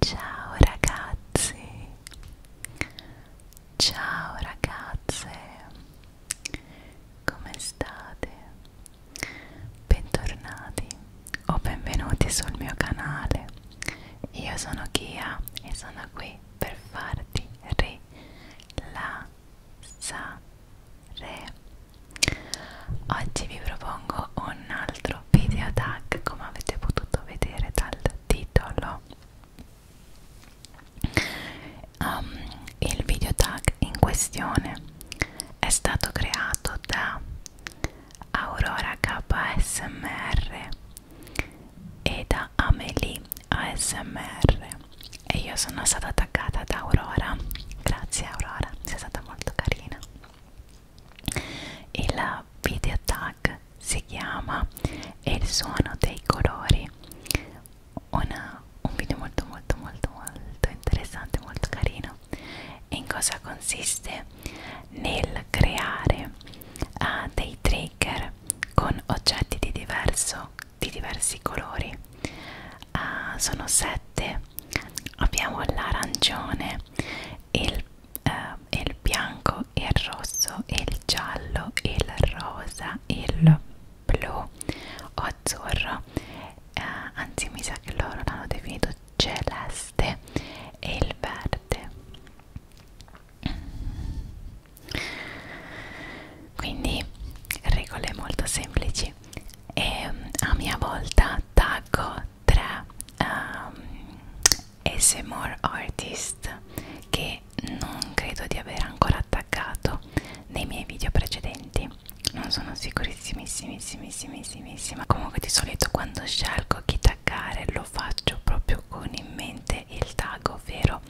Ciao ragazzi, ciao ragazze, come state? Bentornati o benvenuti sul mio canale. Io sono Kia e sono qui per farti rilassare Re. Oggi vi propongo un altro video tag come avete potuto vedere dal titolo. Um, il video tag in questione è stato creato da Aurora KSMR e da Amelie ASMR e io sono stata attaccata da Aurora grazie Aurora sei stata molto carina il video tag si chiama e il suono dei colori Una, un video molto molto molto molto interessante molto carino e in cosa consiste nel creare uh, dei trigger con oggetti di diverso di diversi colori uh, sono sette abbiamo l'arancione il, uh, il bianco il rosso il giallo il rosa il blu o azzurro uh, anzi mi sa che loro l'hanno definito celeste e il verde quindi regole molto semplici e mm, a mia volta taggo tre um, ehm, ASMR artist che non credo di aver ancora attaccato nei miei video precedenti non sono sicurissimissimissimissimissima comunque di solito quando scelgo chi taggare lo faccio proprio con in mente il tag ovvero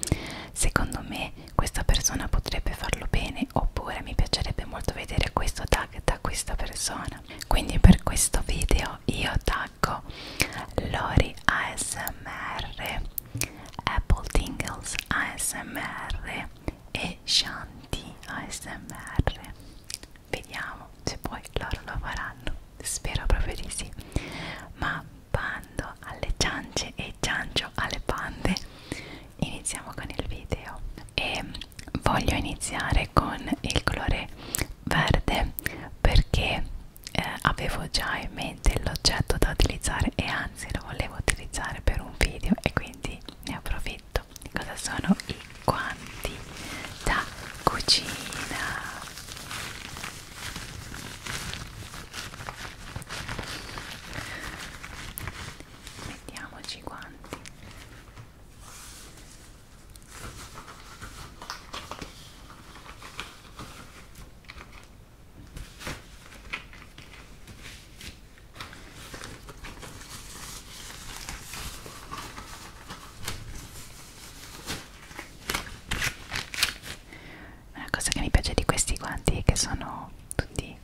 secondo me questa persona potrebbe farlo bene oppure mi piacerebbe molto vedere questo tag da questa persona quindi per questo video io taggo Lori ASMR Apple Tingles ASMR e Shanti ASMR vediamo se poi loro lo faranno spero proprio di sì ma bando alle ciance e ciancio alle pande iniziamo con il video e voglio iniziare con il colore verde perché eh, avevo già in mente l'oggetto da utilizzare e anzi lo volevo utilizzare per un video e quindi ne approfitto cosa sono i guanti da cucina mettiamoci i guanti una cosa che mi piace di questi guanti è che sono tutti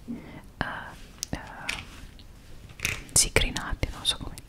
eh, eh, zicrinati, non so come dire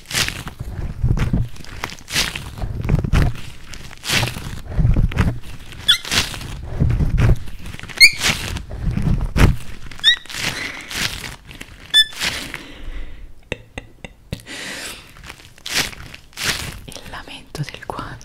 Il lamento del guanto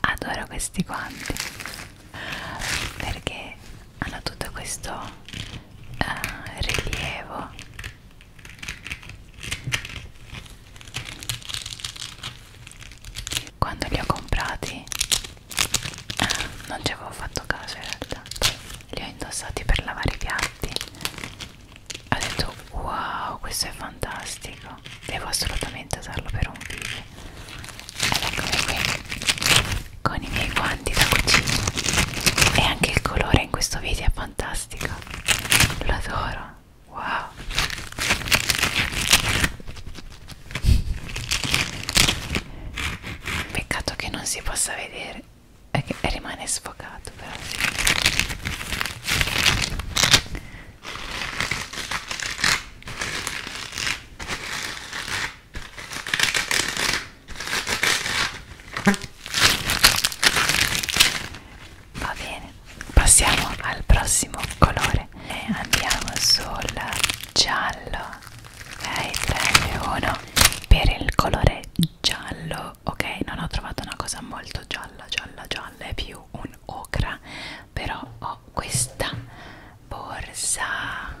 adoro questi guanti perché hanno tutto questo uh, rilievo quando li ho comprati uh, non ci avevo fatto caso in realtà li ho indossati per lavare i piatti ho detto wow questo è fantastico devo assolutamente usarlo per un video ed eccomi qui con i miei guanti da cucina e anche il colore in questo video è fantastico lo adoro wow peccato che non si possa vedere e che rimane sfocato però va bene passiamo al prossimo colore e andiamo sul giallo 3 2 1 per il colore giallo io ok non ho trovato una cosa molto gialla gialla gialla è più un ocra però ho questa borsa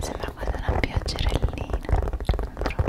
Sembra quasi una pioggerellina, non trovate?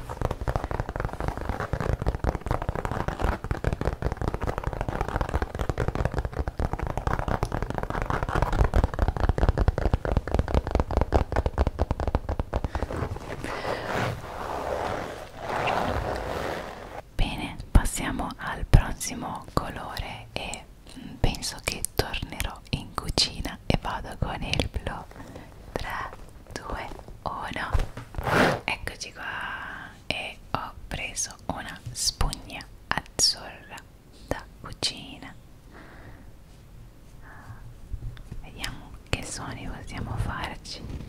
Bene, passiamo al prossimo colore e penso che tornerò in cucina e vado con il blu 3 2, 1 eccoci qua e ho preso una spugna azzurra da cucina vediamo che suoni possiamo farci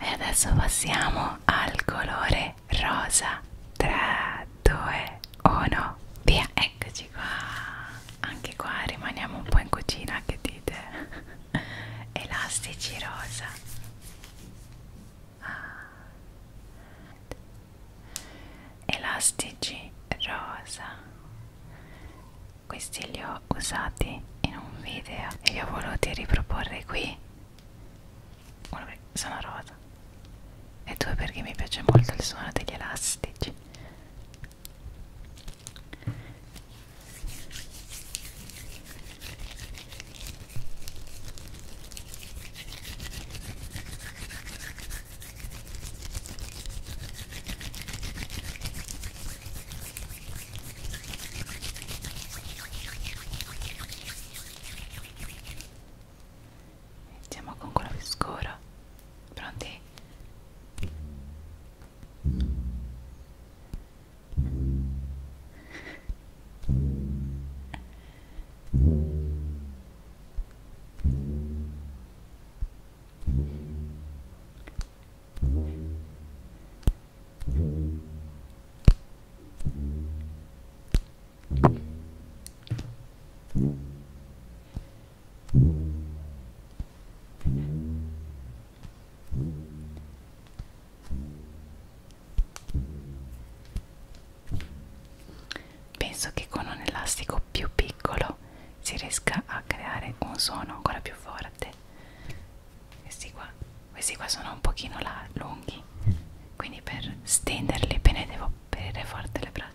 e adesso passiamo al colore rosa 3 2 1 via eccoci qua anche qua rimaniamo un po' in cucina che dite elastici rosa ah. elastici rosa questi li ho usati in un video e li ho voluti riproporre qui uno perché sono rosa e due perché mi piace molto il suono degli elastici Iniziamo con quello più scuro. Pronti? Penso che con un elastico picco più piccolo si riesca a creare un suono ancora più forte questi qua, questi qua sono un pochino là, lunghi quindi per stenderli bene devo aprire forte le braccia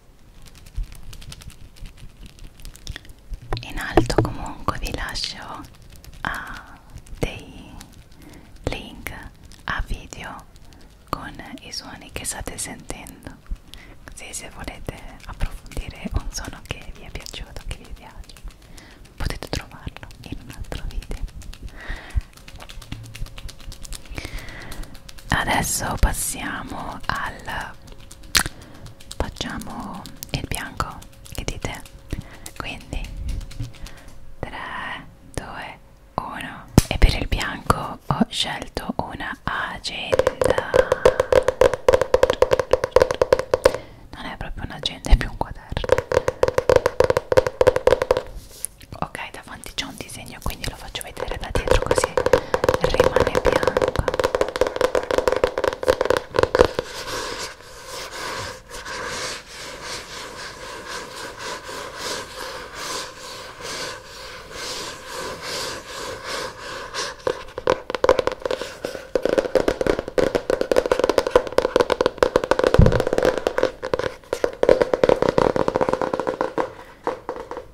in alto comunque vi lascio a ah, dei link a video con i suoni che state sentendo così se volete approfondire un suono che vi è piaciuto che vi piace potete trovarlo in un altro video adesso passiamo al facciamo il bianco che dite quindi 3 2 1 e per il bianco ho scelto una agenda non è proprio un'agenda è più un quaderno ok davanti c'è un disegno quindi lo faccio vedere da dietro così rimane bianco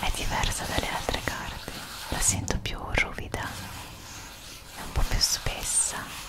è diversa dalle altre carte la sento più ruvida è un po' più spessa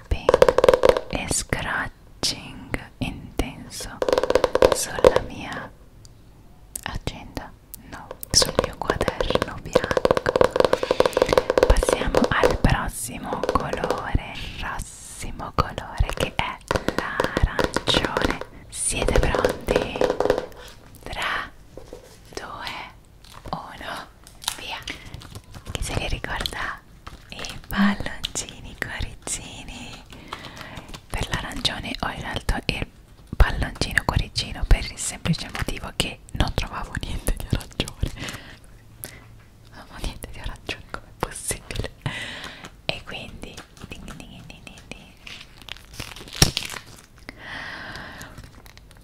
tapping e scratching intenso sulla mia agenda no sul mio quaderno bianco passiamo al prossimo colore prossimo colore che è l'arancione siete pronti 3 2 1 via che se li ricorda i palloncini cuoricini per l'arancione ho in alto il palloncino cuoricino per il semplice motivo che non trovavo niente di arancione non ho niente di arancione come possibile e quindi ding ding ding ding ding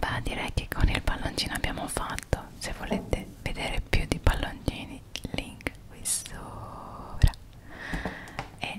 Beh, direi che con il palloncino abbiamo fatto. Se volete vedere più di palloncini, link qui sopra. E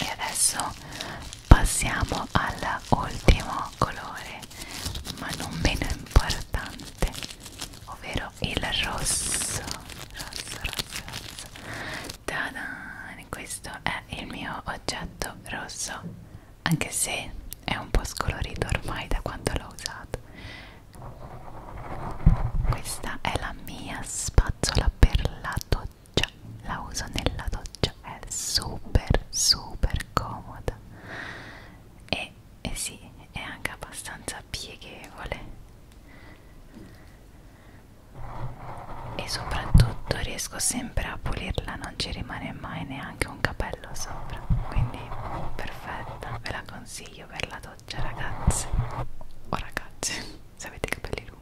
e adesso passiamo all'ultimo colore ma non meno importante ovvero il rosso rosso rosso rosso Tadan! questo è il mio oggetto rosso anche se è un po' scolorito ormai da quando l'ho usato questa è la mia spazzola per la doccia doccia la uso nella doccia è super super comoda e, e sì è anche abbastanza pieghevole e soprattutto riesco sempre a pulirla non ci rimane mai neanche un capello sopra quindi perfetta ve la consiglio per la doccia ragazze o ragazzi se avete capelli lunghi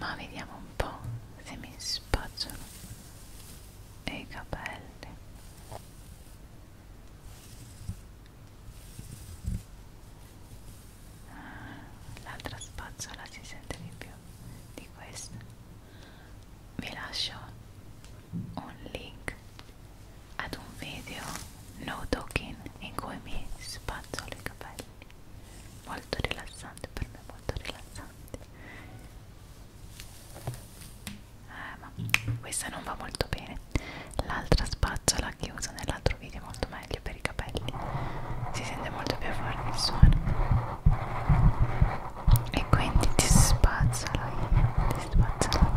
Ma vediamo un po' se mi spacciano i capelli l'altra spazzola si sente di più di questa vi lascio un link ad un video no talking in cui mi spazzolo i capelli molto rilassante per me molto rilassante eh, ma questa non va molto bene l'altra spazzola che uso nell'altro video è molto meglio meglio per i capelli si sente molto più forte il suono e quindi ti spazzolo io ti spazzolo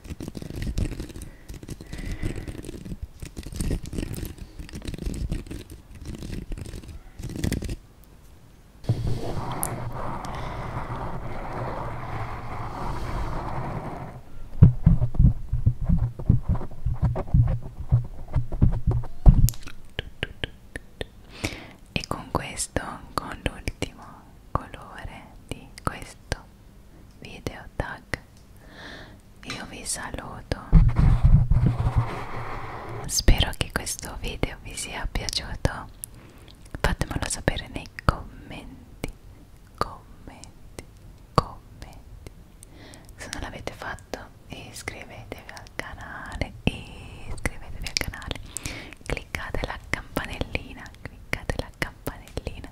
e con questo, con l'ultimo colore di questo video tag io vi saluto spero che questo video vi sia piaciuto fatemelo sapere nei commenti commenti commenti se non l'avete fatto iscrivetevi al canale iscrivetevi al canale cliccate la campanellina cliccate la campanellina